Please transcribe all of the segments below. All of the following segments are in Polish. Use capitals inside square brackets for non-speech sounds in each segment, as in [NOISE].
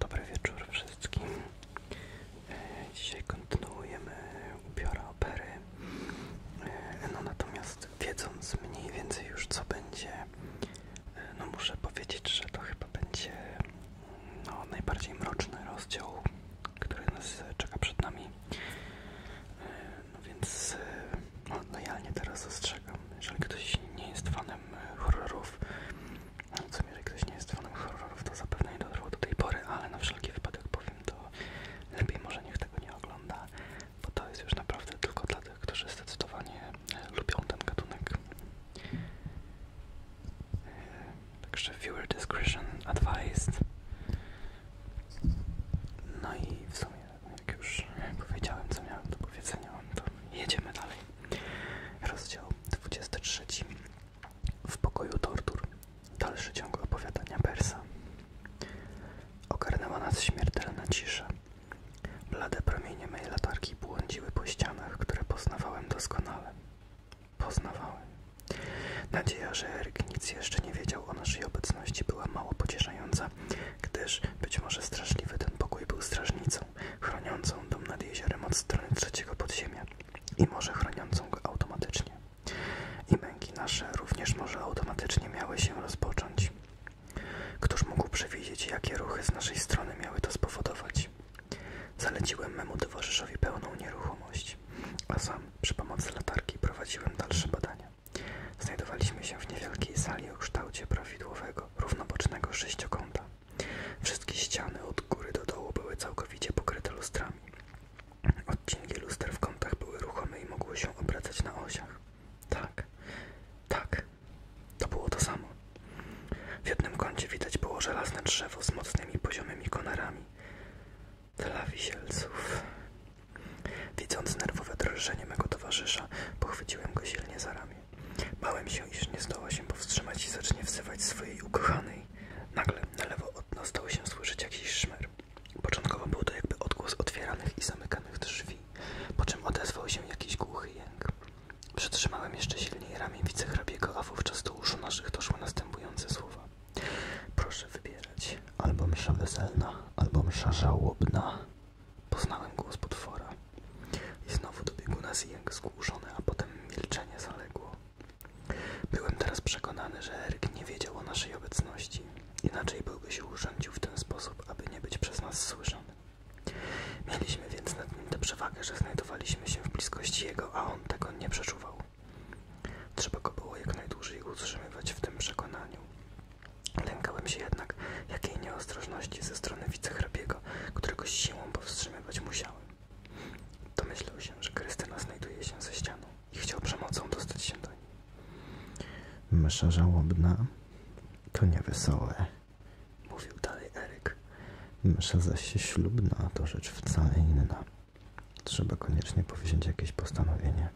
Dobry wieczór wszystkim. E, dzisiaj kontynuujemy ubiora opery. E, no natomiast wiedząc mniej więcej już co będzie, e, no muszę powiedzieć, że to chyba będzie no, najbardziej mroczny rozdział, który nas czeka przed nami. No więc no, teraz ostrzegam, jeżeli ktoś nie jest fanem horrorów, co mi, że ktoś nie jest fanem horrorów, to zapewne nie dotrwał do tej pory, ale na wszelki wypadek powiem to lepiej może niech tego nie ogląda, bo to jest już naprawdę tylko dla tych, którzy zdecydowanie e, lubią ten gatunek. E, także viewer discretion advised. No i w sumie, jak już powiedziałem, co miałem do powiedzenia, to jedziemy dalej. Rozdział 23. W pokoju tortur. Dalszy ciąg opowiadania Persa. Ogarnęła nas śmiertelna cisza. Blade promienie mej latarki błądziły po ścianach, które poznawałem doskonale. Poznawałem. Nadzieja, że Eryk nic jeszcze nie wiedział o naszej obecności była mało pocieszająca, gdyż być może straszliwy ten pokój był strażnicą chroniącą dom nad jeziorem od strony trzeciego podziemia i może chroniącą go automatycznie. I męki nasze również może automatycznie miały się rozpocząć. Któż mógł przewidzieć, jakie ruchy z naszej strony miały to spowodować? Zaleciłem memu towarzyszowi pełną nieruchomość, a sam przy pomocy latarki prowadziłem dalsze badania. Znajdowaliśmy się w niewielkiej sali o kształcie prawidłowego, równobocznego sześciokąta. Wszystkie ściany od góry do dołu były całkowicie pokryte lustrami. Odcinki luster w kątach były ruchome i mogły się obracać na osiach. Tak, tak, to było to samo. W jednym kącie widać było żelazne drzewo z mocnymi poziomymi konarami. Dla wisielców. Widząc nerwowe drżenie mego towarzysza, pochwyciłem go silnie za ramię. Bałem się, iż nie zdoła się powstrzymać i zacznie wzywać swojej ukochanej. Nagle na lewo od nas stało się słyszeć jakiś szmer. Początkowo był to jakby odgłos otwieranych i zamykanych drzwi, po czym odezwał się jakiś głuchy jęk. Przytrzymałem jeszcze silniej ramię wicehrabiego, a wówczas do uszu naszych doszły następujące słowa. Proszę wybierać. Albo msza weselna, albo msza żałobna. Poznałem głos potwora. I znowu dobiegł nas jęk zgłuszony, a potem milczenie zaległo. Byłem teraz przekonany, że Eryk nie wiedział o naszej obecności. Inaczej byłby się urządził w ten sposób, aby nie być przez nas słyszany. Mieliśmy więc nad nim tę przewagę, że znajdowaliśmy się w bliskości jego, a on tego nie przeczuwał. Trzeba go było jak najdłużej utrzymywać w tym przekonaniu. Lękałem się jednak jakiej nieostrożności ze strony wicehrabiego, którego siłą powstrzymywać musiałem. Domyślał się, że Krystyna znajduje się ze ścianą i chciał przemocą dostać się do niej. Mysza żałobna to niewesołe, mówił dalej Eryk. Mysza zaś się ślubna to rzecz wcale inna. Trzeba koniecznie powziąć jakieś postanowienie.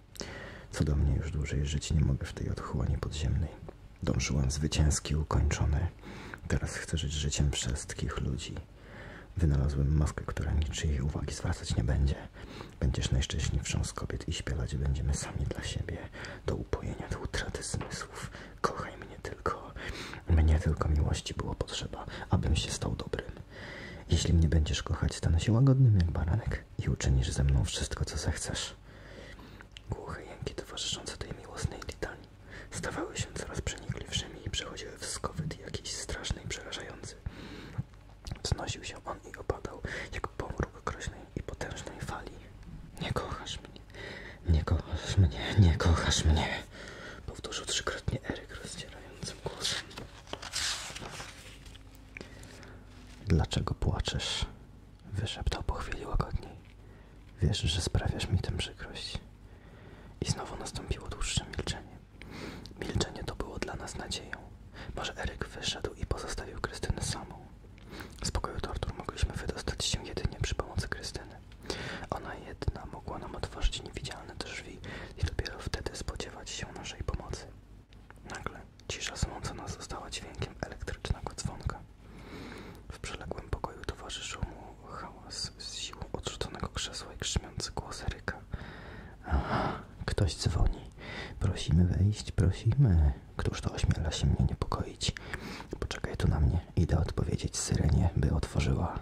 Co do mnie już dłużej żyć nie mogę w tej otchłani podziemnej. Dążyłem zwycięski, ukończony. Teraz chcę żyć życiem wszystkich ludzi. Wynalazłem maskę, która niczyjej uwagi zwracać nie będzie. Będziesz najszczęśliwszą z kobiet i śpiewać będziemy sami dla siebie. Do upojenia, do utraty zmysłów. Kochaj mnie tylko. Mnie tylko miłości było potrzeba, abym się stał dobrym. Jeśli mnie będziesz kochać, stanę się łagodnym jak baranek i uczynisz ze mną wszystko, co zechcesz. Głuche jęki towarzyszące tej miłosnej litanii stawały się coraz przenikliwszymi i przechodziły w skowyt jakiś straszny i przerażający. Wznosił się on i opadał, jak pomruk groźnej i potężnej fali. Nie kochasz mnie, nie kochasz mnie, nie kochasz mnie, powtórzył trzykrotnie Eryk rozdzierającym głosem. Dlaczego płaczesz? Wyszeptał po chwili łagodniej. Wiesz, że sprawiasz mi tę przykrość. I znowu nastąpiło dłuższe milczenie. Milczenie to było dla nas nadzieją. Może Eryk wyszedł i pozostawił Krystynę samą. Z pokoju tortur mogliśmy wydostać się jedynie przy pomocy Krystyny. Ona jedna mogła nam otworzyć niewidzialne drzwi i dopiero wtedy spodziewać się naszej pomocy. Nagle cisza sąca nas została dźwiękiem elektrycznego dzwonka. W przeległym pokoju towarzyszył mu hałas z siłą odrzuconego krzesła i krzmiący głos Eryka. Aha, ktoś dzwoni. Prosimy wejść, prosimy. Któż to ośmiela się mnie niepokoić? Poczekaj tu na mnie. Idę odpowiedzieć syrenie, by otworzyła.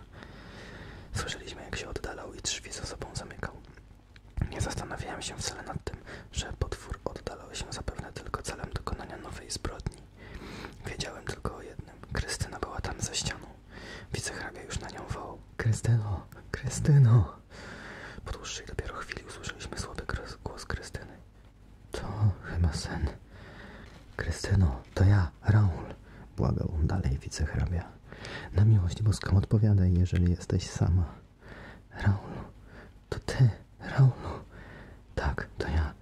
Słyszeliśmy, jak się oddalał i drzwi za sobą zamykał. Nie zastanawiałem się wcale nad tym, że potwór oddalał się zapewne tylko celem dokonania nowej zbrodni. Wiedziałem tylko o jednym. Krystyna była tam za ścianą. Wicehrabia już na nią wołał. Krystyno, Krystyno. Po dłuższej dopiero chwili usłyszeliśmy słaby głos Krystyny. To chyba sen. Krystyno, to ja, Raul. Błagał on dalej wicehrabia. Na miłość boską odpowiadaj, jeżeli jesteś sama. Raul, to ty, Raulu. No. Tak, to ja.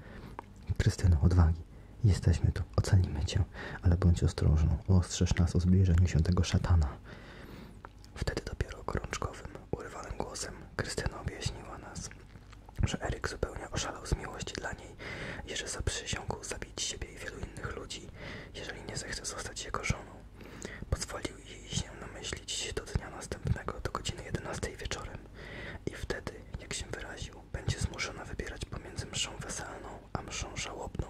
Krystyno, odwagi. Jesteśmy tu, ocalimy cię, ale bądź ostrożną. Ostrzeż nas o zbliżeniu się tego szatana. Wtedy dopiero gorączkowym, urywanym głosem Krystyno objaśniła nas, że Eryk zupełnie oszalał z miłości dla niej i że zaprzysiągł zabić siebie i wielu innych ludzi, jeżeli nie zechce zostać jego żoną. Pozwolił jej się namyślić do dnia następnego, do godziny 11 wieczorem. I wtedy, jak się wyraził, będzie zmuszona wybierać pomiędzy mszą weselną a mszą żałobną.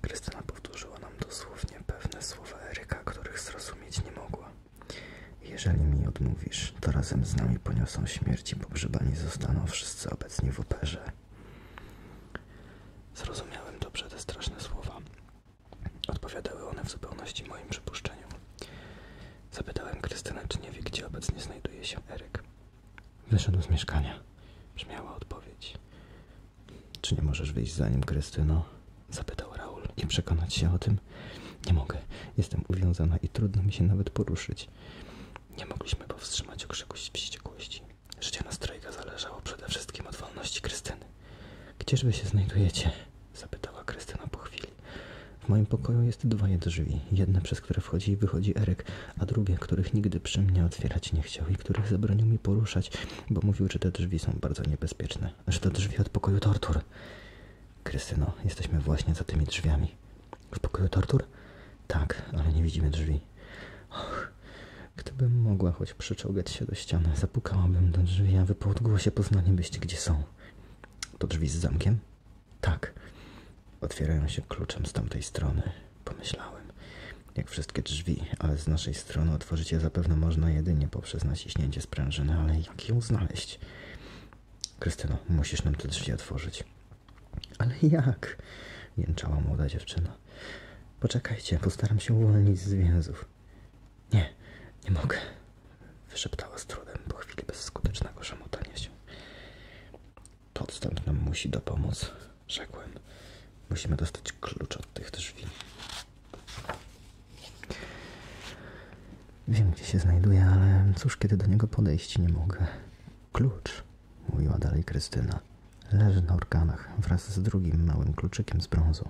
Krystyna powtórzyła nam dosłownie pewne słowa Eryka, których zrozumieć nie mogła. Jeżeli mi odmówisz, to razem z nami poniosą śmierć i pogrzebani zostaną wszyscy obecni w operze. Zrozumiałem dobrze te straszne słowa. Odpowiadały one w zupełności moim przypuszczeniom. Zapytałem Krystynę, czy nie wie, gdzie obecnie znajduje się Eryk. Wyszedł z mieszkania. Brzmiała odpowiedź. Czy nie możesz wyjść za nim, Krystyno? Zapytał Raul Nie przekonać się o tym. Nie mogę. Jestem uwiązana i trudno mi się nawet poruszyć. Nie mogliśmy powstrzymać okrzyku wściekłości. Życie na nastrojga zależało przede wszystkim od wolności Krystyny. Gdzieżby się znajdujecie? Zapytała Krystyna po chwili. W moim pokoju jest dwoje drzwi. Jedne, przez które wchodzi i wychodzi Erek, a drugie, których nigdy przy mnie otwierać nie chciał i których zabronił mi poruszać, bo mówił, że te drzwi są bardzo niebezpieczne. Że to drzwi od pokoju tortur. Krystyno, jesteśmy właśnie za tymi drzwiami. W pokoju tortur? Tak, ale nie widzimy drzwi. gdybym mogła choć przyczołgać się do ściany, zapukałabym do drzwi, a wy po odgłosie byście, gdzie są. To drzwi z zamkiem? Tak. Otwierają się kluczem z tamtej strony, pomyślałem. Jak wszystkie drzwi, ale z naszej strony otworzyć je zapewne można jedynie poprzez naciśnięcie sprężyny, ale jak ją znaleźć? Krystyno, musisz nam te drzwi otworzyć. Ale jak? jęczała młoda dziewczyna. Poczekajcie, postaram się uwolnić z więzów. Nie, nie mogę, wyszeptała z trudem po chwili bezskutecznego szamotania się. To odstęp nam musi dopomóc, rzekłem. Musimy dostać klucz od tych drzwi. Wiem, gdzie się znajduje, ale cóż, kiedy do niego podejść nie mogę. Klucz, mówiła dalej Krystyna, leży na organach wraz z drugim małym kluczykiem z brązu.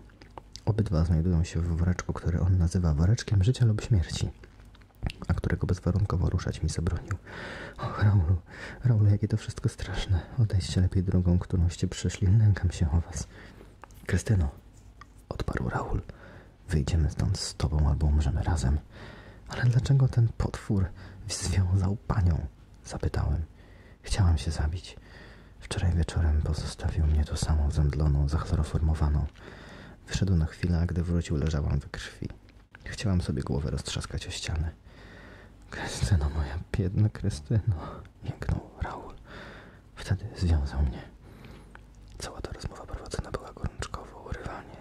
Obydwa znajdują się w woreczku, który on nazywa woreczkiem życia lub śmierci, a którego bezwarunkowo ruszać mi zabronił. Och, Raulu, Raulu, jakie to wszystko straszne. Odejście lepiej drogą, którąście przyszli. Lękam się o was. Krystyno, odparł Raul. Wyjdziemy stąd z tobą albo umrzemy razem. Ale dlaczego ten potwór związał panią? Zapytałem. Chciałam się zabić. Wczoraj wieczorem pozostawił mnie tu samą zemdloną, zachloroformowaną. Wyszedł na chwilę, a gdy wrócił, leżałam we krwi. Chciałam sobie głowę roztrzaskać o ścianę. Krystyno, moja biedna Krystyno, jęknął Raul. Wtedy związał mnie. Cała ta rozmowa prowadzona była gorączkowo, urywanie,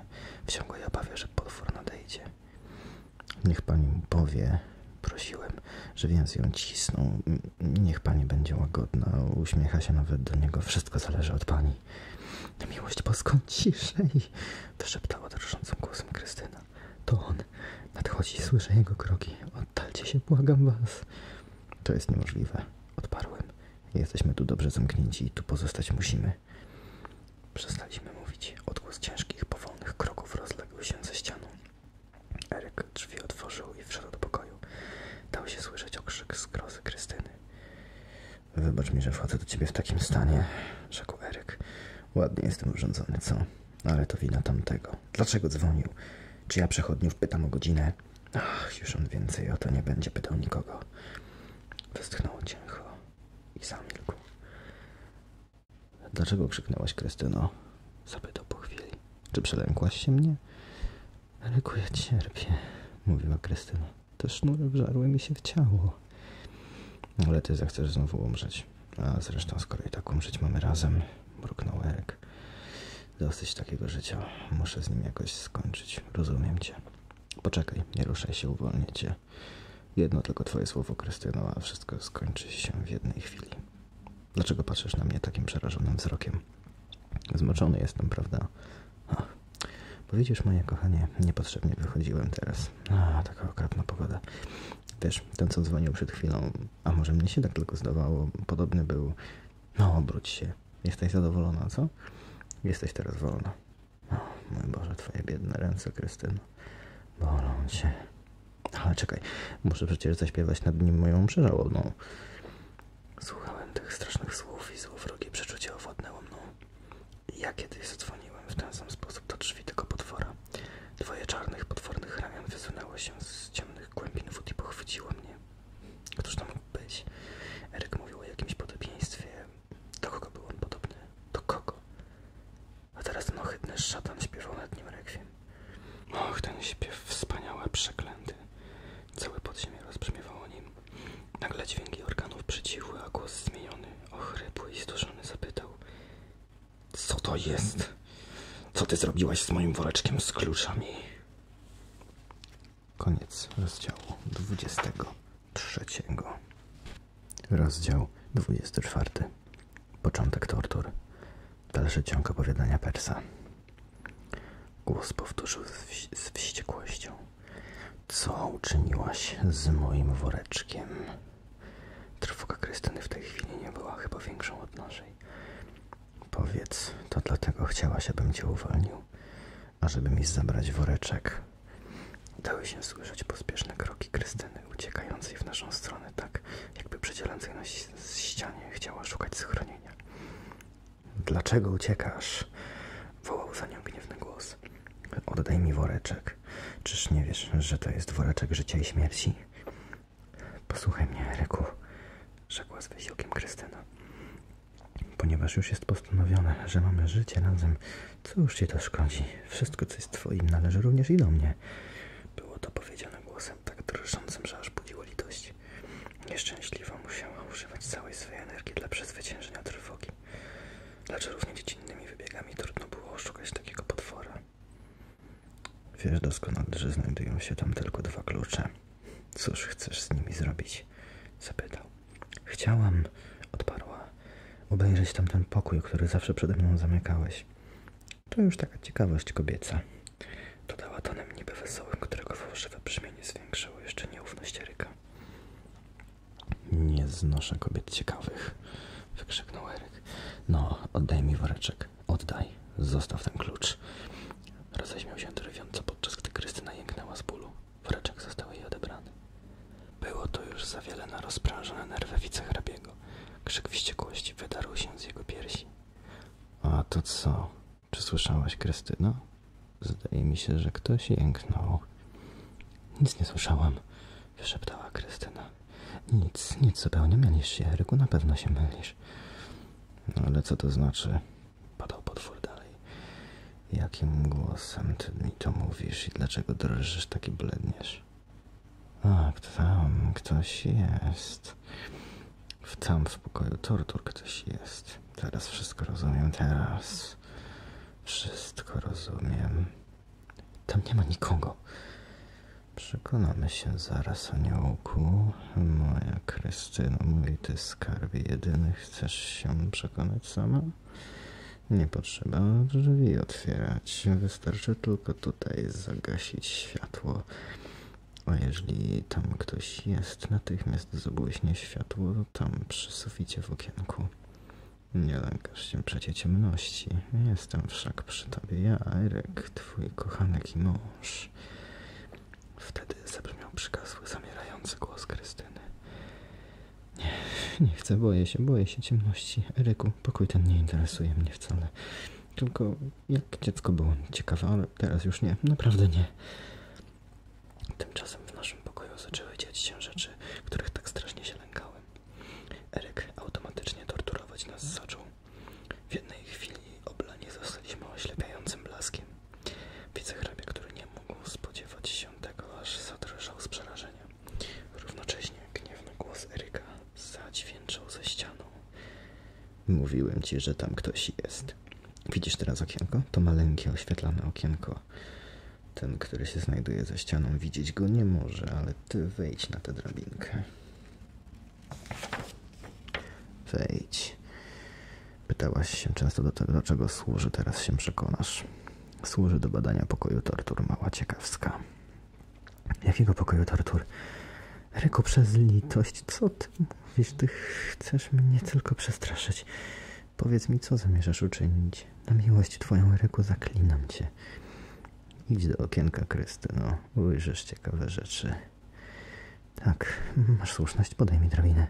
w ciągłej obawie, że potwór nadejdzie. Niech pani powie, prosiłem, że więzy ją cisną, Niech pani będzie łagodna, uśmiecha się nawet do niego. Wszystko zależy od pani. Miłość boską ciszej, wyszeptała drżącym głosem Krystyna. To on. Nadchodzi, słyszę jego kroki. Oddalcie się, błagam was. To jest niemożliwe, odparłem. Jesteśmy tu dobrze zamknięci i tu pozostać musimy. Przestaliśmy mówić. Odgłos ciężkich, powolnych kroków rozległ się ze ścianą. Eryk drzwi otworzył i wszedł do pokoju. Dał się słyszeć okrzyk zgrozy Krystyny. Wybacz mi, że wchodzę do ciebie w takim stanie, rzekł Eryk. Ładnie jestem urządzony, co? Ale to wina tamtego. Dlaczego dzwonił? Czy ja przechodniów pytam o godzinę? Ach, już on więcej o to nie będzie pytał nikogo. Westchnął cicho i zamilkł. Dlaczego krzyknęłaś, Krystyno? Zapytał po chwili. Czy przelękłaś się mnie? Aleku, ja cierpię, mówiła Krystyna. Te sznury wżarły mi się w ciało. Ale ty zechcesz znowu umrzeć. A zresztą, skoro i tak umrzeć mamy razem, mruknął Erek. Dosyć takiego życia. Muszę z nim jakoś skończyć. Rozumiem cię. Poczekaj, nie ruszaj się, uwolnię cię. Jedno tylko twoje słowo, Krystyno, a wszystko skończy się w jednej chwili. Dlaczego patrzysz na mnie takim przerażonym wzrokiem? Zmoczony jestem, prawda? Ach. Bo moje kochanie, niepotrzebnie wychodziłem teraz. A, taka okropna pogoda. Też ten co dzwonił przed chwilą, a może mnie się tak tylko zdawało, podobny był. No, obróć się. Jesteś zadowolona, co? Jesteś teraz wolna. O, mój Boże, twoje biedne ręce, Krystyna. Bolą cię. Ale czekaj, muszę przecież zaśpiewać nad nim moją przerażoną. No. Słuchałem tych strasznych słów i złowrogie przeczucie owładnęło mną. Ja kiedyś zadzwoniłem w ten sam sposób do drzwi tego potwora. Dwoje czarnych, potwornych ramion wysunęło się z ciemnych głębin wód i pochwyciło mnie. Któż to mógł być? Eryk mówił o jakimś podobieństwie. Do kogo był on podobny? Do kogo? A teraz ten ohydny szatan śpiewał nad nim rekwiem. Och, ten śpiew wspaniały, przeklęty. Całe podziemie rozbrzmiewało nim. Nagle dźwięki organów przycichły, a głos zmieniony, ochrypły i zduszony zapytał. Co to jest? Co ty zrobiłaś z moim woreczkiem z kluczami? Koniec rozdziału 23. Rozdział 24. Początek tortur. Dalszy ciąg opowiadania Persa. Głos powtórzył z, wś wściekłością. Co uczyniłaś z moim woreczkiem? Trwoga Krystyny w tej chwili nie była chyba większą od naszej. Powiedz, to dlatego chciałaś, abym cię uwolnił, ażeby mi zabrać woreczek. Dały się słyszeć pospieszne kroki Krystyny, uciekającej w naszą stronę, tak jakby przydzielającej na ścianie chciała szukać schronienia. Dlaczego uciekasz? wołał za nią gniewny głos. Oddaj mi woreczek. Czyż nie wiesz, że to jest woreczek życia i śmierci? Posłuchaj mnie, Eryku, rzekła z wysiłkiem Krystyna. Ponieważ już jest postanowione, że mamy życie razem, cóż ci to szkodzi? Wszystko, co jest twoim, należy również i do mnie. Było to powiedziane głosem tak drżącym, że aż budziło litość. Nieszczęśliwa musiała używać całej swojej energii dla przezwyciężenia trwogi. Lecz równie dziecinnymi wybiegami trudno było oszukać takiego potwora. Wiesz doskonale, że znajdują się tam tylko dwa klucze. Cóż chcesz z nimi zrobić? Zapytał. Chciałam, odparła, obejrzeć tamten pokój, który zawsze przede mną zamykałeś. To już taka ciekawość kobieca. Dodała tonem niby wesołym, którego fałszywe brzmienie zwiększyło jeszcze nieufność Eryka. Nie znoszę kobiet ciekawych, wykrzyknął Eryk. No, oddaj mi woreczek, oddaj, zostaw ten klucz. Roześmiał się drwiąco, podczas gdy Krystyna jęknęła z bólu. Woreczek został jej odebrany. Było to już za wiele na rozprężone nerwy wicehrabiego. Krzyk wściekłości wydarł się z jego piersi. A to co? Czy słyszałaś, Krystyno? Zdaje mi się, że ktoś jęknął. Nic nie słyszałam, wyszeptała Krystyna. Nic, nic zupełnie mylisz się, Eryku, na pewno się mylisz. No ale co to znaczy? Padał potwór dalej. Jakim głosem ty mi to mówisz i dlaczego drżysz taki bledniesz? A, kto, tam ktoś jest teraz w całym spokoju. Tortur ktoś jest. Teraz wszystko rozumiem. Teraz wszystko rozumiem. Tam nie ma nikogo. Przekonamy się zaraz, aniołku. Moja Krystyna mówi, ty skarbie jedyny, chcesz się przekonać sama? Nie potrzeba drzwi otwierać. Wystarczy tylko tutaj zagasić światło. A jeżeli tam ktoś jest, natychmiast zabłyśnie światło tam przy suficie w okienku. Nie lękasz się przecie ciemności. Jestem wszak przy tobie ja, Eryk, twój kochanek i mąż. Wtedy zabrzmiał przykazły zamierający głos Krystyny. Nie, nie chcę, boję się, boję się ciemności. Eryku, pokój ten nie interesuje mnie wcale. Tylko jak dziecko było ciekawe, ale teraz już nie, naprawdę nie. Tymczasem w naszym pokoju zaczęły dziać się rzeczy, których tak strasznie się lękałem. Eryk automatycznie torturować nas zaczął. W jednej chwili oblani zostaliśmy oślepiającym blaskiem. Wicehrabia, który nie mógł spodziewać się tego, aż zadrżał z przerażenia. Równocześnie gniewny głos Eryka zadźwięczał ze ścianą. Mówiłem ci, że tam ktoś jest. Widzisz teraz okienko? To maleńkie, oświetlone okienko. Ten, który się znajduje za ścianą, widzieć go nie może, ale ty wejdź na tę drabinkę. Wejdź. Pytałaś się często do tego, do czego służy, teraz się przekonasz. Służy do badania pokoju tortur, mała ciekawska. Jakiego pokoju, tortur? Ryku, przez litość, co ty mówisz? Ty chcesz mnie tylko przestraszyć. Powiedz mi, co zamierzasz uczynić? Na miłość twoją, Ryku, zaklinam cię. Idź do okienka, Krystyno. Ujrzysz ciekawe rzeczy. Tak, masz słuszność, podaj mi drabinę.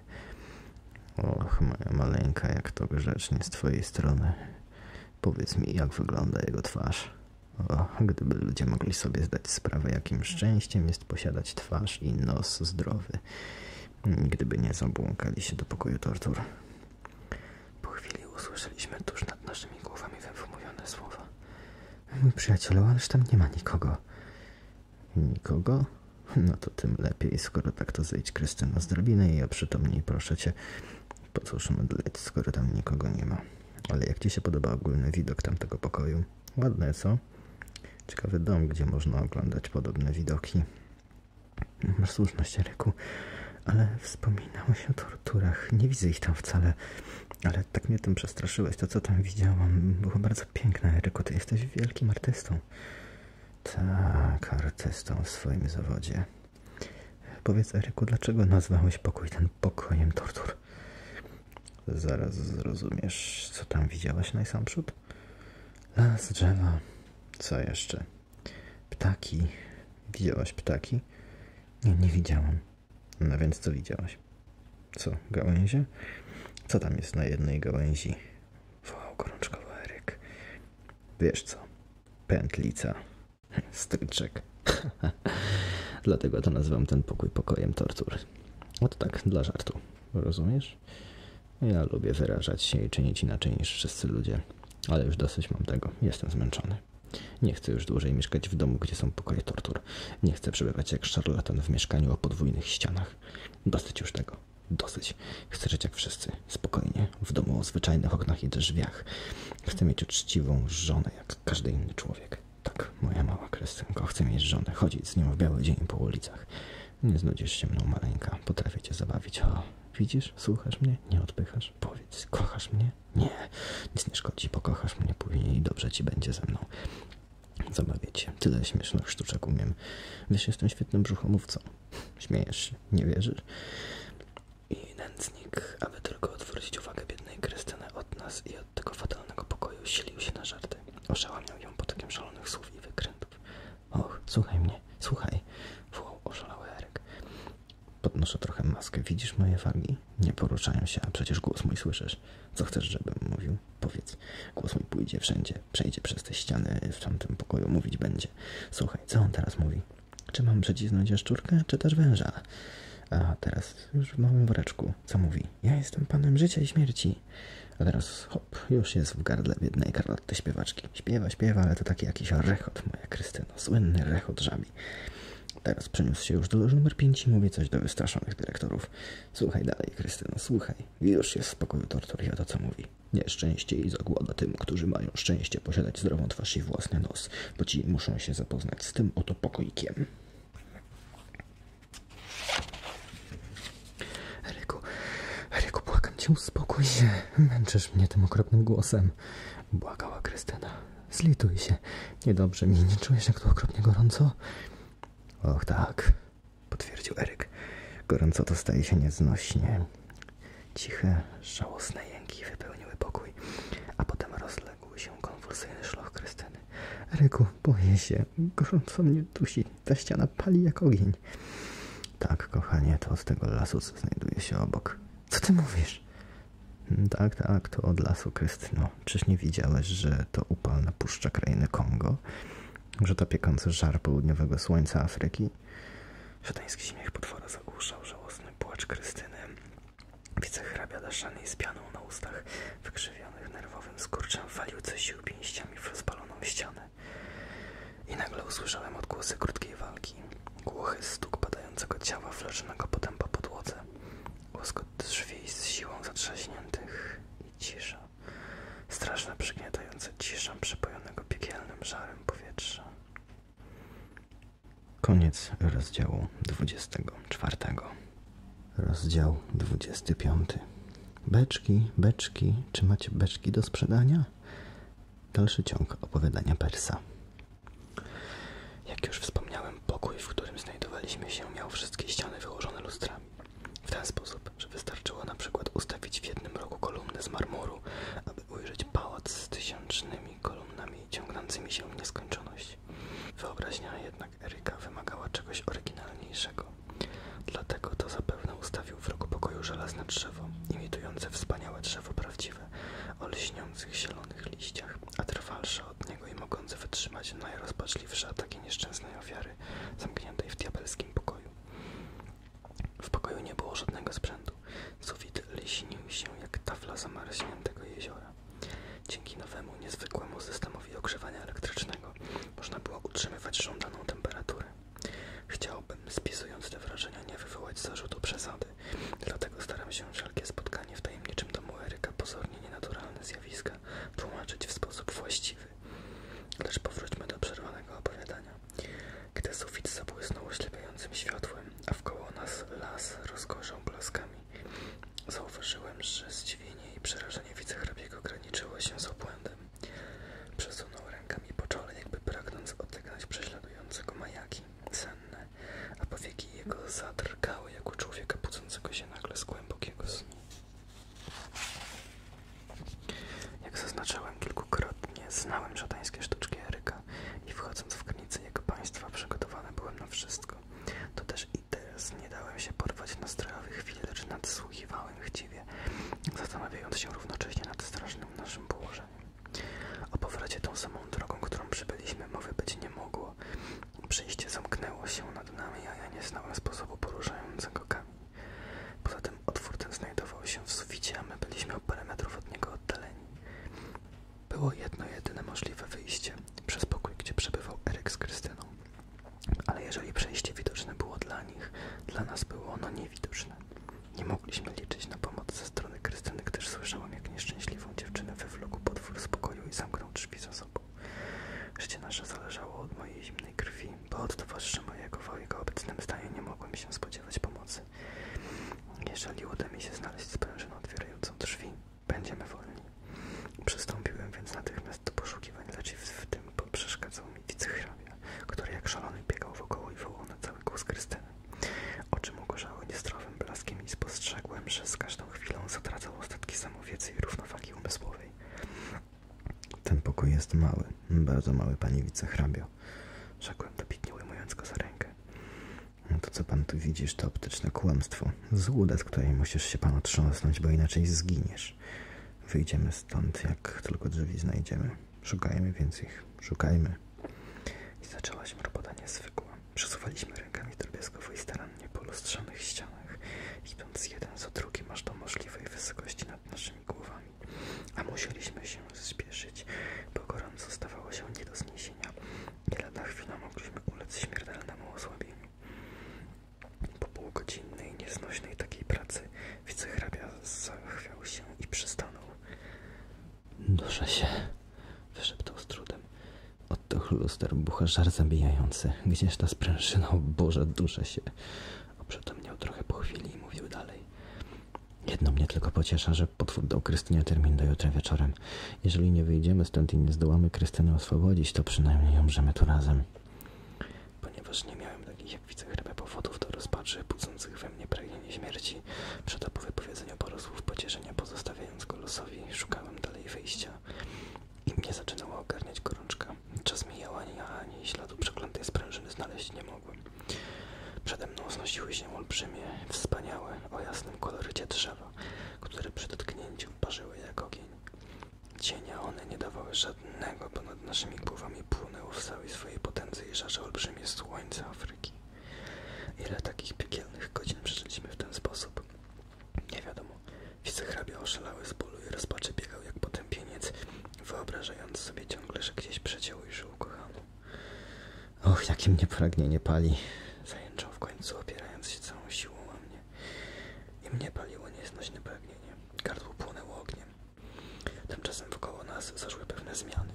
Och, moja maleńka, jak to grzecznie z twojej strony. Powiedz mi, jak wygląda jego twarz. O, gdyby ludzie mogli sobie zdać sprawę, jakim szczęściem jest posiadać twarz i nos zdrowy, gdyby nie zabłąkali się do pokoju tortur. Po chwili usłyszeliśmy tuż nad naszymi głowami wymówione słowa. Mój przyjacielu, ależ tam nie ma nikogo. Nikogo? No to tym lepiej, skoro tak to zejdź Krystyna z drabiny i oprzytomnij, proszę cię. Po cóż mdleć, skoro tam nikogo nie ma. Ale jak Ci się podoba ogólny widok tamtego pokoju? Ładne, co? Ciekawy dom, gdzie można oglądać podobne widoki. Masz słuszność, Eryku, ale wspominałeś o torturach. Nie widzę ich tam wcale, ale tak mnie tym przestraszyłeś. To, co tam widziałam, było bardzo piękne, Eryku. Ty jesteś wielkim artystą. Tak, artystą w swoim zawodzie. Powiedz, Eryku, dlaczego nazwałeś pokój ten pokojem tortur? Zaraz zrozumiesz, co tam widziałaś najsamprzód? Las, drzewa, co jeszcze? Ptaki. Widziałaś ptaki? Nie, nie widziałam. No więc co widziałaś? Co, gałęzie? Co tam jest na jednej gałęzi? Wołał gorączkowo Eryk. Wiesz co? Pętlica. Stryczek. [LAUGHS] Dlatego to nazywam ten pokój pokojem tortur. No to tak, dla żartu. Rozumiesz? Ja lubię wyrażać się i czynić inaczej niż wszyscy ludzie. Ale już dosyć mam tego. Jestem zmęczony. Nie chcę już dłużej mieszkać w domu, gdzie są pokoje tortur. Nie chcę przebywać jak szarlatan w mieszkaniu o podwójnych ścianach. Dosyć już tego. Dosyć. Chcę żyć jak wszyscy. Spokojnie. W domu o zwyczajnych oknach i drzwiach. Chcę mieć uczciwą żonę, jak każdy inny człowiek. Tak, moja mała krestynko, chcę mieć żonę, chodzić z nią w biały dzień po ulicach. Nie znudzisz się mną, maleńka, potrafię cię zabawić. O, widzisz, słuchasz mnie, nie odpychasz, powiedz, kochasz mnie? Nie, nic nie szkodzi, pokochasz mnie później i dobrze ci będzie ze mną. Zabawię cię, tyle śmiesznych sztuczek umiem. Wiesz, jestem świetnym brzuchomówcą. Śmiejesz się, nie wierzysz? I nędznik, aby tylko odwrócić uwagę biednej Krystyny od nas i od tego fatalnego pokoju silił się na żarty. Oszałamiał ją potokiem szalonych słów i wykrętów. Och, słuchaj mnie, słuchaj, wołał oszalały Erek. Podnoszę trochę maskę, widzisz moje wargi? Nie poruszają się, a przecież głos mój słyszysz. Co chcesz, żebym mówił? Powiedz. Głos mój pójdzie wszędzie, przejdzie przez te ściany, w tamtym pokoju mówić będzie. Słuchaj, co on teraz mówi? Czy mam przycisnąć jaszczurkę, czy też węża? A teraz już w małym woreczku, co mówi? Ja jestem panem życia i śmierci. A teraz hop, już jest w gardle biednej Karloty śpiewaczki. Śpiewa, śpiewa, ale to taki jakiś rechot, moja Krystyna, Słynny rechot żabi. Teraz przeniósł się już do loży numer 5 i mówi coś do wystraszonych dyrektorów. Słuchaj dalej, Krystyna, słuchaj. Już jest w spokoju tortur i o co mówi. Nieszczęście i zagłada tym, którzy mają szczęście posiadać zdrową twarz i własny nos, bo ci muszą się zapoznać z tym oto pokoikiem. Eryku, Eryku, błagam cię, uspokój się. Męczysz mnie tym okropnym głosem. Błagała Krystyna. Zlituj się. Niedobrze mi, nie czujesz jak tu okropnie gorąco? Och tak, potwierdził Eryk. Gorąco to staje się nieznośnie. Ciche, żałosne jęki wypełniły pokój, a potem rozległ rozległ się konwulsyjny szloch Krystyny. Ryku, boję się. Gorąco mnie dusi. Ta ściana pali jak ogień. Tak, kochanie, to z tego lasu, co znajduje się obok. Co ty mówisz? Mm, tak, tak, to od lasu, Krystyno. Czyż nie widziałeś, że to upalna puszcza krainy Kongo? Że to piekący żar południowego słońca Afryki? Szatański śmiech potwora zagłuszał żałosny płacz Krystyny. Wicehrabia daszany z pianą na ustach, wykrzywionych nerwowym skurczem, walił coś sił pięściami w rozpaloną ścianę. I nagle usłyszałem odgłosy krótkiej walki. Głuchy stuk padającego ciała wleczonego potem po podłodze. Łoskot drzwi z siłą zatrzaśniętych i cisza. Straszna, przygniatająca cisza przepojonego piekielnym żarem powietrza. Koniec rozdziału 24. Rozdział 25. Beczki, beczki, czy macie beczki do sprzedania? Dalszy ciąg opowiadania Persa. Jak już wspomniałem, pokój, w którym znajdowaliśmy się, miał wszystkie ściany wyłożone lustrami. W ten sposób, że wystarczyło na przykład ustawić w jednym roku kolumnę z marmuru, aby ujrzeć pałac z tysiącznymi kolumnami ciągnącymi się w nieskończoność. Wyobraźnia jednak Eryka wymagała czegoś oryginalniejszego. Dlatego to zapewne ustawił w rogu pokoju żelazne drzewo, imitujące wspaniałe drzewo prawdziwe, o lśniących zielonych liściach, a trwalsze od niego i mogące wytrzymać najrozpaczliwsze ataki nieszczęsnej ofiary, zamkniętej w diabelskim pokoju. W pokoju nie było żadnego sprzętu. Sufit lśnił się jak tafla zamarzniętego jeziora. Dzięki nowemu, niezwykłemu systemowi ogrzewania elektrycznego można było utrzymywać żądaną temperaturę. Chciałbym, spisując te wrażenia, nie wywołać zarzutu przesady, dlatego staram się wszelkie spotkanie w tajemniczym domu Eryka pozornie nienaturalne zjawiska tłumaczyć w sposób właściwy. Lecz powróćmy do przerwanego opowiadania. Gdy sufit zabłysnął oślepiającym światłem, a w wkoło nas las rozgorzał blaskami, Zauważyłem, że zdziwienie i przerażenie wicehrabiego graniczyło się z obłędem. Przesunął rękami po czole, jakby pragnąc odegnać prześladującego majaki senne, a powieki jego zadrgały jak u człowieka budzącego się nagle z głębokiego snu. Jak zaznaczałem kilkukrotnie, znałem szatańskie sztuczki Eryka i wchodząc w granice jego państwa, przygotowany byłem na wszystko wszystko. To też i teraz nie dałem się porwać nastrojowy chwil, lecz nadsłuchiwałem chciwie, zastanawiając się równocześnie nad strasznym naszym położeniem. O powrocie tą samą drogą, którą przybyliśmy, mowy być nie mogło. Przejście zamknęło się nad nami, a ja nie znałem sposobu poruszającego kamień. Poza tym otwór ten znajdował się w suficie, a my byliśmy o parę metrów od niego oddaleni. Było jedno jedyne możliwe wyjście przez pokój, gdzie przebywał Eryk z Krystyną. Ale jeżeli przejście widoczne było dla nich, dla nas było ono niewidoczne. Nie mogliśmy liczyć na pomoc ze strony Krystyny, gdyż słyszałam, jak nieszczęśliwą dziewczynę wywlókł podwór z pokoju i zamknął drzwi za sobą. Życie nasze zależało od mojej zimnej krwi, bo od towarzysza mojego w jego obecnym stanie nie mogłem się spodziewać pomocy. Jeżeli uda mi się znaleźć sprężynę otwierającą drzwi, będziemy wolni. Przystąpiłem więc natychmiast do poszukiwań, lecz w tym przeszkadzał mi wichrabia, który jak szalony biegał wokoło i wołał na cały głos Krystyny. Oczy mu gorzały niestrowym blaskiem i spostrzegłem, że z każdą chwilą zatracał ostatki samowiedzy i równowagi umysłowej. Ten pokój jest mały, bardzo mały, pani wicehrabio, rzekłem dobitnie ujmując go za rękę. To, co pan tu widzisz, to optyczne kłamstwo. Złuda, z której musisz się pan otrząsnąć, bo inaczej zginiesz. Wyjdziemy stąd, jak tylko drzwi znajdziemy. Szukajmy więcej ich. Szukajmy. I zaczęła się robota niezwykła. Przesuwaliśmy rękami drobiazgowo i starannie po lustrzanych ścianach, idąc jeden za drugim aż do możliwej wysokości nad naszymi głowami. A musieliśmy się zespieszyć, bo gorąco stawało się nie do zniesienia i lada chwila mogliśmy ulec śmiertelnemu osłabieniu. Po półgodzinnej, nieznośnej takiej pracy wicehrabia zachwiał się i przystanął. Duszę się, wyszeptał z trudem. Oddech luster bucha żar zabijający. Gdzież ta sprężyna? O Boże, duszę się. Oprzytomniał trochę po chwili i mówił dalej. Jedno mnie tylko pociesza, że że potwór dał Krystynie termin do jutra wieczorem. Jeżeli nie wyjdziemy stąd i nie zdołamy Krystyny oswobodzić, to przynajmniej ją umrzemy tu razem. Ponieważ nie miałem takich jak wicechrabia powodów do rozpaczy, budzących we mnie pragnienie śmierci, Przed po wypowiedzeniu paru słów pocieszenia, pozostawiając go losowi, szukałem dalej wyjścia. I mnie zaczynała ogarniać gorączka. Czas mijał, ani ja, ani śladu przeklętej sprężyny znaleźć nie mogłem. Przede mną znosiły się olbrzymie, wspaniałe, o jasnym kolorycie drzewa które przy dotknięciu parzyły jak ogień. Cienia one nie dawały żadnego, ponad naszymi głowami płonęło w całej swojej potędze i żarze olbrzymie słońce Afryki. Ile takich piekielnych godzin przeżyliśmy w ten sposób? Nie wiadomo. Wicehrabia oszalały z bólu i rozpaczy biegał jak potępieniec, wyobrażając sobie ciągle, że gdzieś przeciął i żył ukochaną. Och, jakie mnie pragnienie pali! Zajęczał w końcu, opierając się całą siłą o mnie. I mnie paliło nieznośne pragnienie. Gardło płonęło ogniem. Tymczasem wokoło nas zaszły pewne zmiany.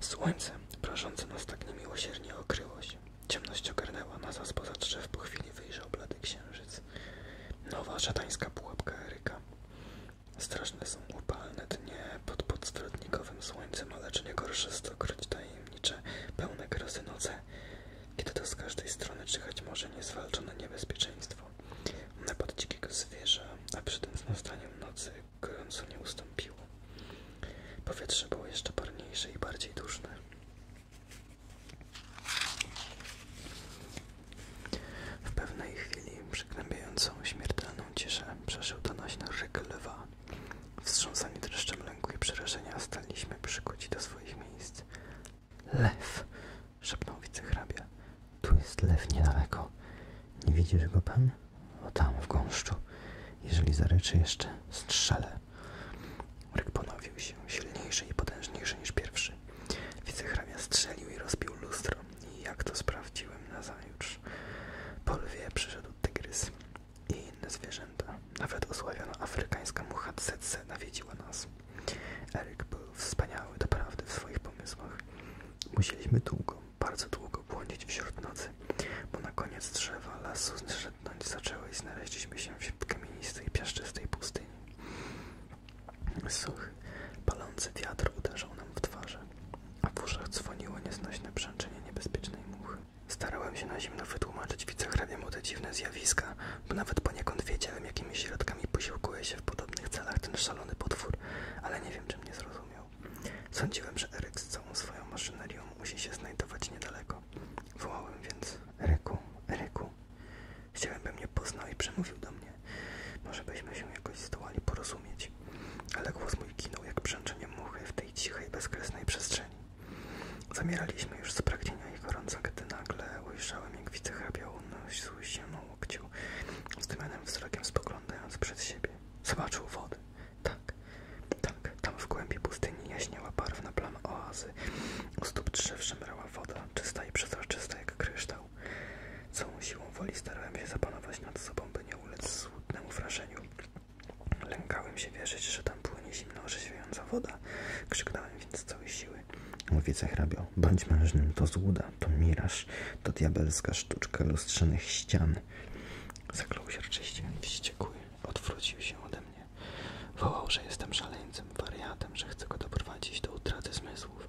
Słońce, prażące nas tak niemiłosiernie, okryło się. Ciemność ogarnęła nas, a spoza drzew po chwili wyjrzał blady księżyc. Nowa szatańska pułapka Eryka. Straszne są upalne dnie pod podstrodnikowym słońcem, ale czy nie gorsze stokroć tajemnic? tajemnicze, pełne grozy noce, kiedy to z każdej strony czyhać może niezwalczone niebezpieczeństwo. Napad dzikiego zwierza, a przy przed nastaniem nocy gorąco nie ustąpiło. Powietrze było jeszcze parniejsze i bardziej duszne. W pewnej chwili przygnębiającą śmiertelną ciszę przeżył donośny rzyk lwa, Wstrząsani dreszczem lęku i przerażenia staliśmy przykuci do swoich miejsc. Lew! szepnął wicehrabia. Tu jest lew niedaleko. Nie widzisz go pan? O tam, w gąszczu. Jeżeli zaryczy jeszcze, strzelę. Ryk ponowił się, silniejszy i potężniejszy niż pierwszy. Wicehrabia strzelił i rozbił lustro. I jak to sprawdziłem nazajutrz? Po lwie przyszedł tygrys i inne zwierzęta. Nawet osławiona afrykańska mucha tsetse nawiedziła nas. Eryk był wspaniały doprawdy w swoich pomysłach. Musieliśmy długo, bardzo długo błądzić wśród nocy, bo na koniec drzewa lasu zrzednąć zaczęły i znaleźliśmy się w kamienistej, piaszczystej pustyni. Suchy, palący wiatr uderzał nam w twarze, a w uszach dzwoniło nieznośne brzęczenie niebezpiecznej muchy. Starałem się na zimno wytłumaczyć wicehraniemu te dziwne zjawiska, bo nawet poniekąd wiedziałem, jakimi środkami posiłkuje się w podobnych celach ten szalony potwór, ale nie wiem, czy mnie zrozumiał. Sądziłem, że Eryk z całą swoją maszynerią musi się znajdować niedaleko. Wołałem więc, Eryku, Eryku. Chciałem, by mnie poznał i przemówił do mnie. Może byśmy się jakoś zdołali porozumieć ale głos mój ginął jak brzęczenie muchy w tej cichej, bezkresnej przestrzeni. Zamieraliśmy już z pragnienia i gorąca, gdy nagle ujrzałem, jak wicehrabiał nosił się na łokciu, zdymionym wzrokiem spoglądając przed siebie. Zobaczył wody. Tak, tak, tam w głębi pustyni jaśniała barwna plama oazy. U stóp drzew szemrała woda, czysta i przezroczysta jak kryształ. Całą siłą woli starałem się zapanować nad sobą, by nie ulec złudnemu wrażeniu, Lękałem się wierzyć, że tam płynie zimno, zimna, orzeźwiająca woda. Krzyknąłem więc z całej siły. Mówice hrabio, bądź mężnym, to złuda, to miraż, to diabelska sztuczka lustrzanych ścian. Zaklął się rczyście, wściekły, odwrócił się ode mnie. Wołał, że jestem szaleńcem, wariatem, że chcę go doprowadzić do utraty zmysłów.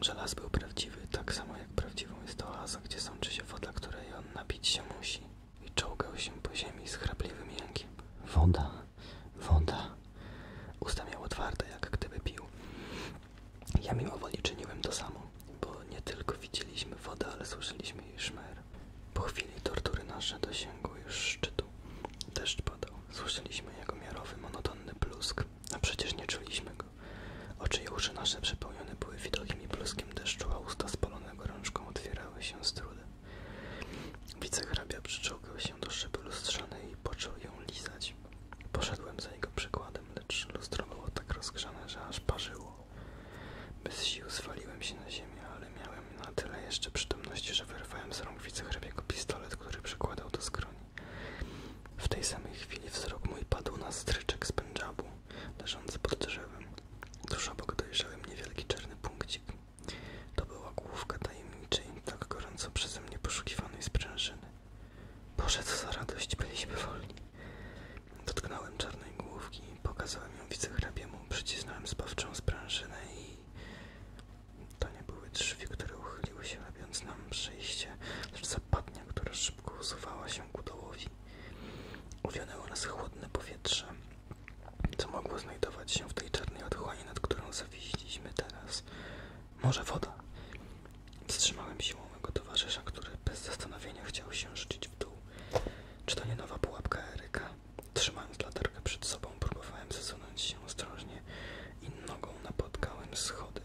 Żelaz był prawdziwy, tak samo jak prawdziwą jest to oaza, gdzie sączy się woda, której on napić się musi i czołgał się po ziemi z chrapliwym jękiem. Woda, woda. Usta miał otwarte, jak gdyby pił. Ja mimowoli czyniłem to samo, bo nie tylko widzieliśmy wodę, ale słyszeliśmy jej szmer. Po chwili tortury nasze dosięgły już szczytu. Deszcz padał. Słyszeliśmy jego miarowy, monotonny plusk, a przecież nie czuliśmy go. Oczy i uszy nasze przepełnione były widokiem i pluskiem deszczu, a usta spalone one gorączką otwierały się z trudem. Wicehrabia przyczołgał się do szyby lustrzanej i począł ją lizać. Poszedłem za jego przykładem, lecz lustro było tak rozgrzane, że aż parzyło. Bez sił zwaliłem się na ziemię, ale miałem na tyle jeszcze przytomności, że wyrwałem z rąk wicehrabiego pistolet, który przykładał do skroni. W tej samej chwili wzrok mój padł na stryczek z pędżabu, leżący pod drzewem. Tuż obok dojrzałem niewielki czarny punkcik. To była główka tajemniczej, tak gorąco przeze mnie poszukiwanej sprężyny. Boże, co za radość, byliśmy wolni. Dotknąłem czarnej główki, pokazałem ją wicehrabiemu, przycisnąłem zbawczą sprężynę i... To nie były drzwi, które uchyliły się, robiąc nam przejście, lecz zapadnia, która szybko usuwała się ku dołowi. Uwionęło nas chłodne powietrze, co mogło znajdować się w tej czarnej otchłani, nad którą zawieźliśmy teraz. Może woda? Wstrzymałem siłą mego towarzysza, który bez zastanowienia chciał się rzucić w dół. Czy to nie nowa pułapka Eryka? Trzymając latarkę przed sobą, próbowałem zasunąć się ostrożnie i nogą napotkałem schody.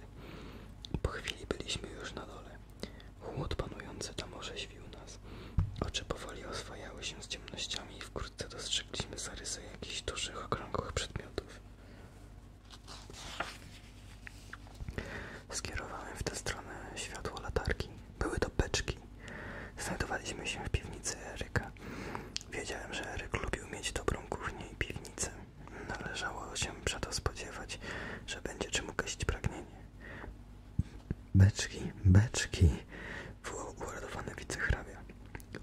Po chwili byliśmy już na dole. Chłód panujący tam orzeźwił nas. Oczy powoli oswojały się z ciemnościami i wkrótce dostrzegliśmy zarysy jakichś dużych, okrągłych przedmiotów. Skierowałem w tę stronę światło latarki. Były to beczki. Znajdowaliśmy się w piwnicy Eryka. Wiedziałem, że Eryk lubił mieć dobrą kuchnię i piwnicę. Należało się przeto spodziewać, że będzie czym ugościć pragnienie. Beczki, beczki. Uładowane wicehrabia.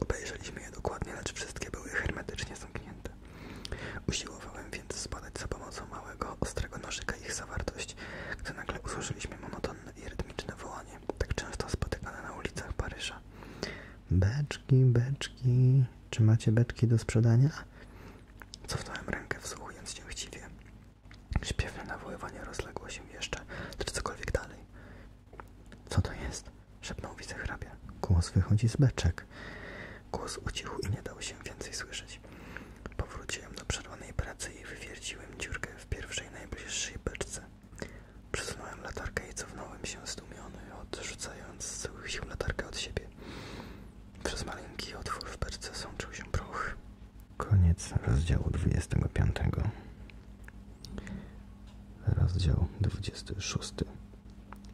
Obejrzeliśmy je dokładnie, lecz wszystkie były hermetycznie zamknięte. Usiłowałem więc zbadać za pomocą małego, ostrego nożyka ich zawartość, gdy nagle usłyszeliśmy monotonne i rytmiczne wołanie, tak często spotykane na ulicach Paryża. Beczki, beczki, czy macie beczki do sprzedania? Cofnąłem rękę, wsłuchując się chciwie. Śpiewne nawoływanie rozległo się jeszcze, czy cokolwiek dalej. Co to jest? Szepnął wicehrabia. Głos wychodzi z beczek. Głos ucichł i nie dał się więcej słyszeć. Powróciłem do przerwanej pracy i wywierciłem dziurkę w pierwszej najbliższej beczce. Przesunąłem latarkę i cofnąłem się zdumiony, odrzucając z całych sił latarkę od siebie. Przez maleńki otwór w perce sączył się proch. Koniec rozdziału 25. Rozdział 26.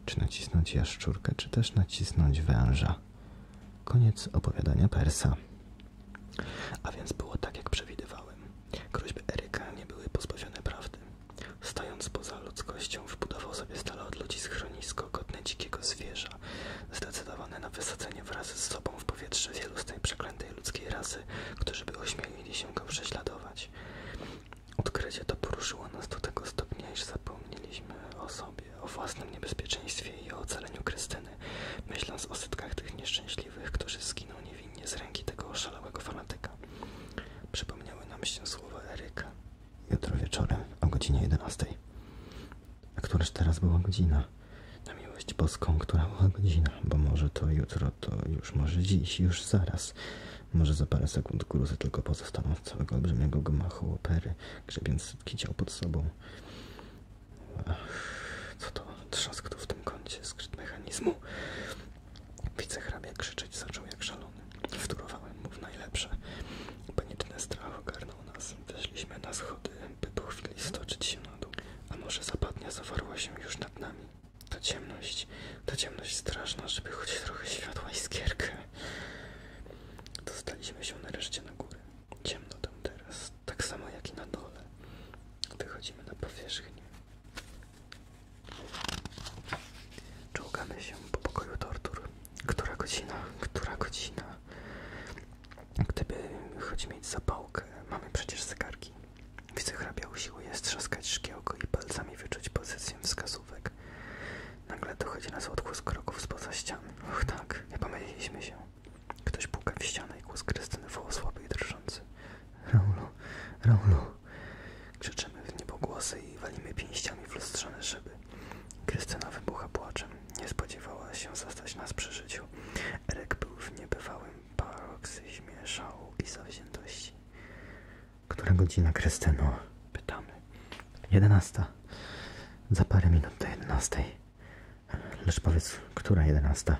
Czy nacisnąć jaszczurkę, czy też nacisnąć węża? Koniec opowiadania Persa. A więc było tak, jak przewidywałem. Groźby Eryka nie były pozbawione prawdy. Stojąc poza ludzkością, wbudował sobie stale od ludzi schronisko godne dzikiego zwierza powietrza. Zdecydowany na wysadzenie wraz z sobą w powietrze wielu z tej przeklętej ludzkiej rasy, którzy by ośmielili się go prześladować. Odkrycie to poruszyło nas do tego stopnia, iż zapomnieliśmy o sobie, o własnym niebezpieczeństwie i o ocaleniu Krystyny, myśląc o setkach tych nieszczęśliwych, którzy zginą niewinnie z ręki tego oszalałego fanatyka. Przypomniały nam się słowa Eryka. Jutro wieczorem o godzinie 11. A któraż teraz była godzina? Na miłość boską, która była godzina? Bo może to jutro, to już może dziś, już zaraz. Może za parę sekund gruzę tylko pozostaną z całego olbrzymiego gmachu opery, grzebiąc sypki ciał pod sobą. Ach, co to? Trzask tu w tym kącie, skryt mechanizmu. Wicehrabia krzyczeć zaczął jak szalony. Wtórowałem mu w najlepsze. Paniczny strach ogarnął nas. Weszliśmy na schody, by po chwili stoczyć się na dół. A może zapadnia zawarła się już nad nami? Ta ciemność, ta ciemność straszna, żeby choć trochę światła i skierkę. Dostaliśmy się nareszcie na górę. Ciemno tam teraz, tak samo jak i na dole. Wychodzimy na powierzchnię. Czołgamy się po pokoju tortur. Która godzina? Która godzina? Gdyby choć mieć zapałkę, mamy przecież zegarki. Widzę hrabiał siły jest trzaskać szkiełko i palcami wyczuć pozycję wskazówek. Nagle dochodzi nas z kroków z poza ścian. Och tak, nie pomyliliśmy się. Ktoś puka w ścianę i głos Krystyny woła słaby i drżący. Raulu, Raulu. Krzyczymy w niebogłosy i walimy pięściami w lustrzane szyby. Krystyna wybucha płaczem. Nie spodziewała się zastać nas przy życiu. Erek był w niebywałym paroksyzmie szału i zawziętości. Która godzina, Krystyno? Pytamy. Jedenasta. Za parę minut do jedenastej. Lecz powiedz, która jedenasta?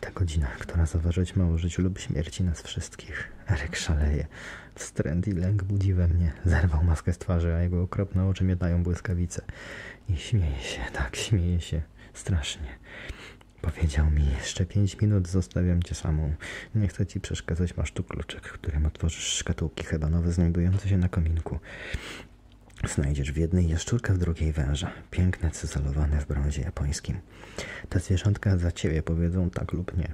Ta godzina, która zaważyć ma o życiu lub śmierci nas wszystkich. Erek szaleje. Wstręt i lęk budzi we mnie zerwał maskę z twarzy, a jego okropne oczy mietają błyskawice. I śmieje się, tak, śmieje się. Strasznie. Powiedział mi, jeszcze pięć minut zostawiam cię samą. Nie chcę ci przeszkadzać, masz tu kluczek, którym otworzysz szkatułki hebanowe znajdujące się na kominku. Znajdziesz w jednej jaszczurkę, w drugiej węża. Piękne, cyzelowane w brązie japońskim. Te zwierzątka za ciebie powiedzą tak lub nie.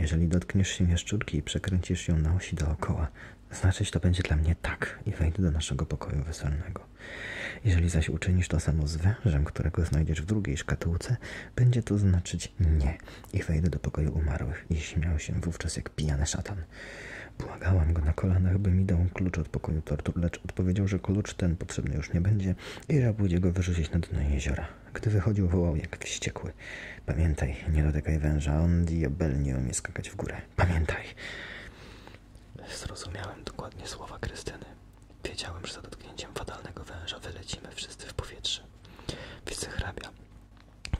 Jeżeli dotkniesz się jaszczurki i przekręcisz ją na osi dookoła, znaczyć to będzie dla mnie tak i wejdę do naszego pokoju weselnego. Jeżeli zaś uczynisz to samo z wężem, którego znajdziesz w drugiej szkatułce, będzie to znaczyć nie i wejdę do pokoju umarłych i śmiał się wówczas jak pijany szatan. Błagałam go na kolanach, by mi dał klucz od pokoju tortur, lecz odpowiedział, że klucz ten potrzebny już nie będzie i że go wyrzucić na dno jeziora. Gdy wychodził, wołał jak wściekły. Pamiętaj, nie dotykaj węża, on nie umie skakać w górę. Pamiętaj. Zrozumiałem dokładnie słowa Krystyny. Wiedziałem, że za dotknięciem fatalnego węża wylecimy wszyscy w powietrze. Wicehrabia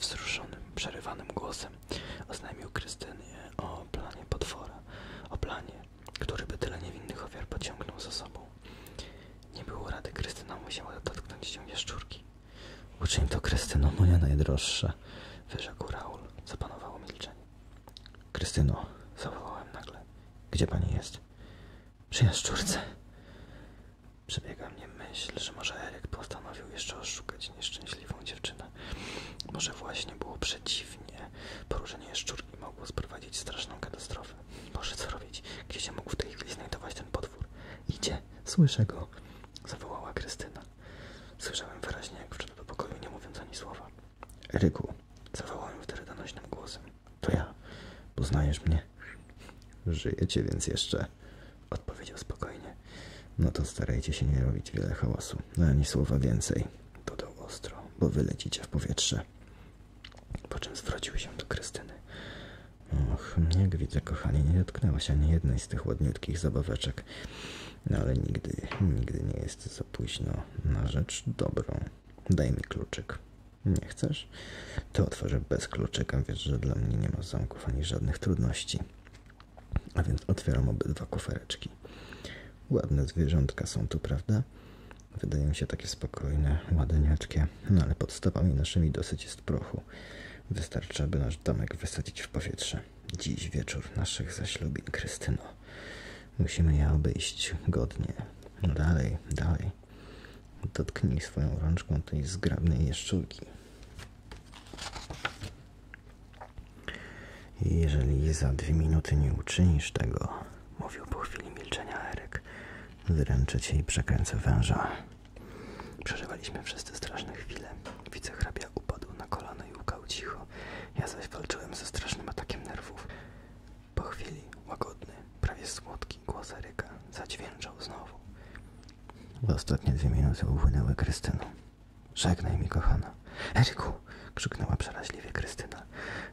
wzruszonym, przerywanym głosem oznajmił Krystynie o planie potwora, o planie, który by tyle niewinnych ofiar pociągnął za sobą. Nie było rady, Krystyna musiała dotknąć się jaszczurki. Uczyń to, Krystyno, moja no najdroższa, wyrzekł Raul. Zapanowało milczenie. Krystyno, zawołałem nagle. Gdzie pani jest? Przy jaszczurce. Przebiega mnie myśl, że może Eryk postanowił jeszcze oszukać nieszczęśliwą dziewczynę. Może właśnie było przeciwnie. Poruszenie jaszczurki mogło sprowadzić straszną katastrofę. Boże, co robić? Gdzie się mógł w tej chwili znajdować ten potwór? Idzie, słyszę go zawołała Krystyna. Słyszałem wyraźnie, jak wszedł do pokoju, nie mówiąc ani słowa. Eryku, zawołałem wtedy donośnym głosem. To ja. Poznajesz mnie? Żyjecie więc jeszcze, odpowiedział spokojnie. No to starajcie się nie robić wiele hałasu, no ani słowa więcej, dodał ostro, bo wylecicie w powietrze. Po czym zwrócił się do Krystyny. Och, jak widzę, kochanie, nie dotknęłaś ani jednej z tych ładniutkich zabaweczek. No ale nigdy, nigdy nie jest za późno na rzecz dobrą. Daj mi kluczyk. Nie chcesz? To otworzę bez kluczyka, wiesz, że dla mnie nie ma zamków ani żadnych trudności. A więc otwieram obydwa kufereczki. Ładne zwierzątka są tu, prawda? Wydają się takie spokojne, ładniaczkie, no ale pod stawami naszymi dosyć jest Wystarczy, aby nasz domek wysadzić w powietrze. Dziś wieczór naszych zaślubin, Krystyno. Musimy je obejść godnie. No dalej, dalej. Dotknij swoją rączką tej zgrabnej jeszczurki. Jeżeli za dwie minuty nie uczynisz tego, mówił po chwili milczenia Eryk, wyręczę cię i przekręcę węża. Przeżywaliśmy wszyscy straszne chwile. Wicehrabia upadł na kolana i łkał cicho. Ja zaś walczyłem ze strasznym atakiem nerwów. Po chwili łagodny, prawie słodki głos Eryka zadźwięczał znowu. ostatnie dwie minuty upłynęły Krystyną. Żegnaj mi, kochana. Eryku! krzyknęła przeraźliwie Krystyna.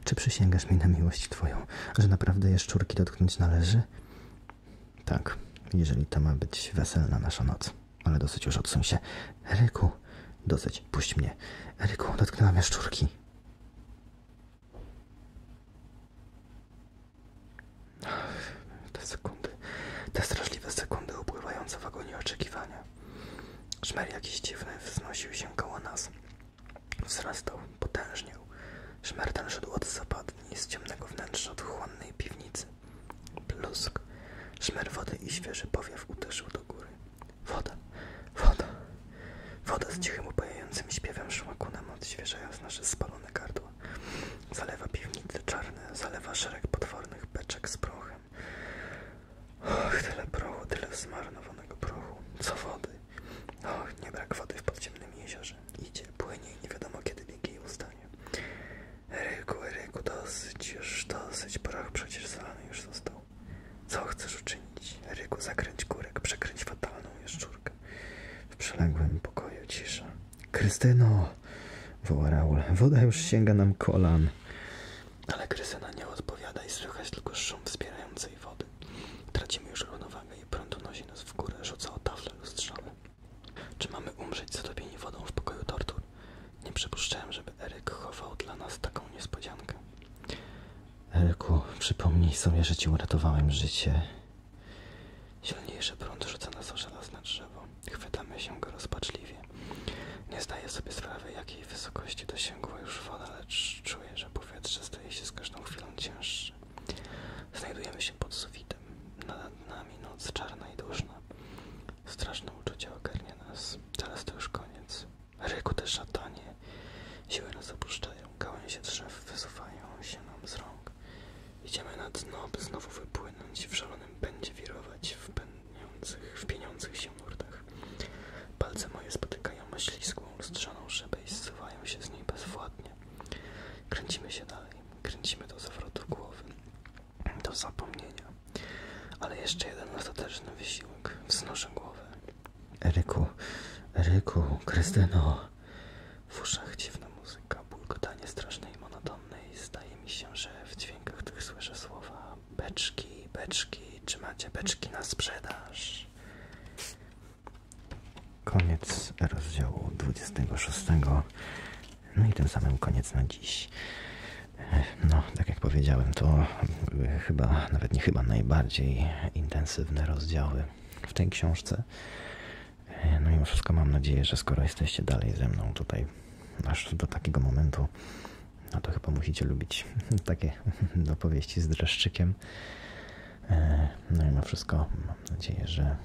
Czy przysięgasz mi na miłość twoją, że naprawdę jaszczurki dotknąć należy? Tak, jeżeli to ma być weselna nasza noc. Ale dosyć już odsuń się. Eryku, dosyć, puść mnie. Eryku, dotknęłam jaszczurki. Te sekundy, te straszliwe sekundy upływające w agonii oczekiwania. Szmer jakiś dziwny wznosił się koło nas. Wzrastał, potężniał. Szmer ten szedł od zapadni z ciemnego wnętrza odchłannej piwnicy. Plusk. Szmer wody i świeży powiew uderzył do góry. Woda, woda. Woda z cichym, upajającym śpiewem szła ku nam, odświeżając nasze spalone gardła. Zalewa piwnice czarne, zalewa szereg potwornych beczek z prochem. Och, tyle prochu, tyle zmarnowanego prochu. Co wody? Och, nie brak wody w podziemnym jeziorze. Dobrze, idzie, płynie i nie wiadomo kiedy biegi ustanie. Ryku, Ryku, dosyć już, dosyć, proch przecież już został. Co chcesz uczynić? Ryku, zakręć kurek, przekręć fatalną jaszczurkę. W przeległym pokoju cisza. Krystyno! woła Raul. Woda już sięga nam kolan. Ale Krystyna nie odpowiada i słychać tylko szum wspierającej wody. Tracimy już równowagę i prąd unosi nas w górę, rzuca o tafle lustrzane. Czy mamy umrzeć za zatopieni wodą w pokoju tortur? Nie przypuszczałem, żeby Eryk chował dla nas taką niespodziankę. Eryku, przypomnij sobie, że ci uratowałem życie. Silniejszy prąd rzuca nas o żelazne drzewo. Chwytamy się go rozpaczliwie. Nie zdaję sobie sprawy, jakiej wysokości dosięgła już woda, lecz czuję, że powietrze staje się z każdą chwilą cięższe. Znajdujemy się pod sufitem. Nad nami noc czarna i duszna. Straszne uczucie ogarnia nas. Teraz to już koniec. Ryku te szatanie. Siły nas opuszczają. Gałęzie drzew wysuwają się nam z rąk. Idziemy na dno, by znowu wypłynąć. W szalonym będzie wirować w pędniących, w pieniących się nurtach. Palce moje spotykają śliską, lustrzaną szybę i zsuwają się z niej bezwładnie. Kręcimy się dalej kręcimy do zawrotu głowy, do zapomnienia. Ale jeszcze jeden ostateczny wysiłek. Wznoszę głowę. Eryku, Eryku, Krystyno. W uszach dziwna muzyka, bulgotanie strasznej, monotonnej. Zdaje mi się, że w dźwiękach tych słyszę słowa beczki, beczki, czy macie beczki na sprzedaż? koniec rozdziału 26. No i tym samym koniec na dziś. No, tak jak powiedziałem, to chyba, nawet nie chyba, najbardziej intensywne rozdziały w tej książce. No mimo wszystko mam nadzieję, że skoro jesteście dalej ze mną tutaj, aż do takiego momentu, no to chyba musicie lubić [LAUGHS] takie opowieści z dreszczykiem. E, no i ma wszystko. Mam nadzieję, że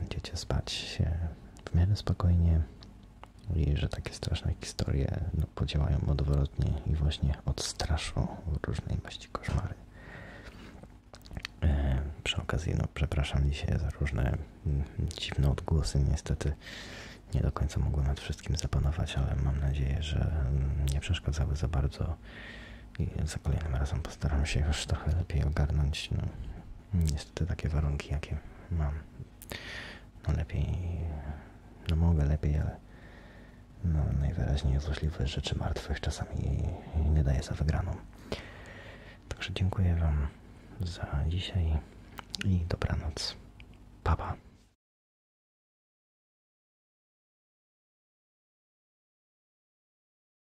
będziecie spać się w miarę spokojnie i że takie straszne historie no, podziałają odwrotnie i właśnie odstraszą różnej maści koszmary. E, przy okazji, no, przepraszam dzisiaj za różne mm, dziwne odgłosy. Niestety nie do końca mogłem nad wszystkim zapanować, ale mam nadzieję, że mm, nie przeszkadzały za bardzo i za kolejnym razem postaram się już trochę lepiej ogarnąć. No, niestety takie warunki, jakie mam. No lepiej, no mogę lepiej, ale no, najwyraźniej złośliwe rzeczy martwych czasami nie daje za wygraną. Także dziękuję Wam za dzisiaj i dobranoc. Pa, pa.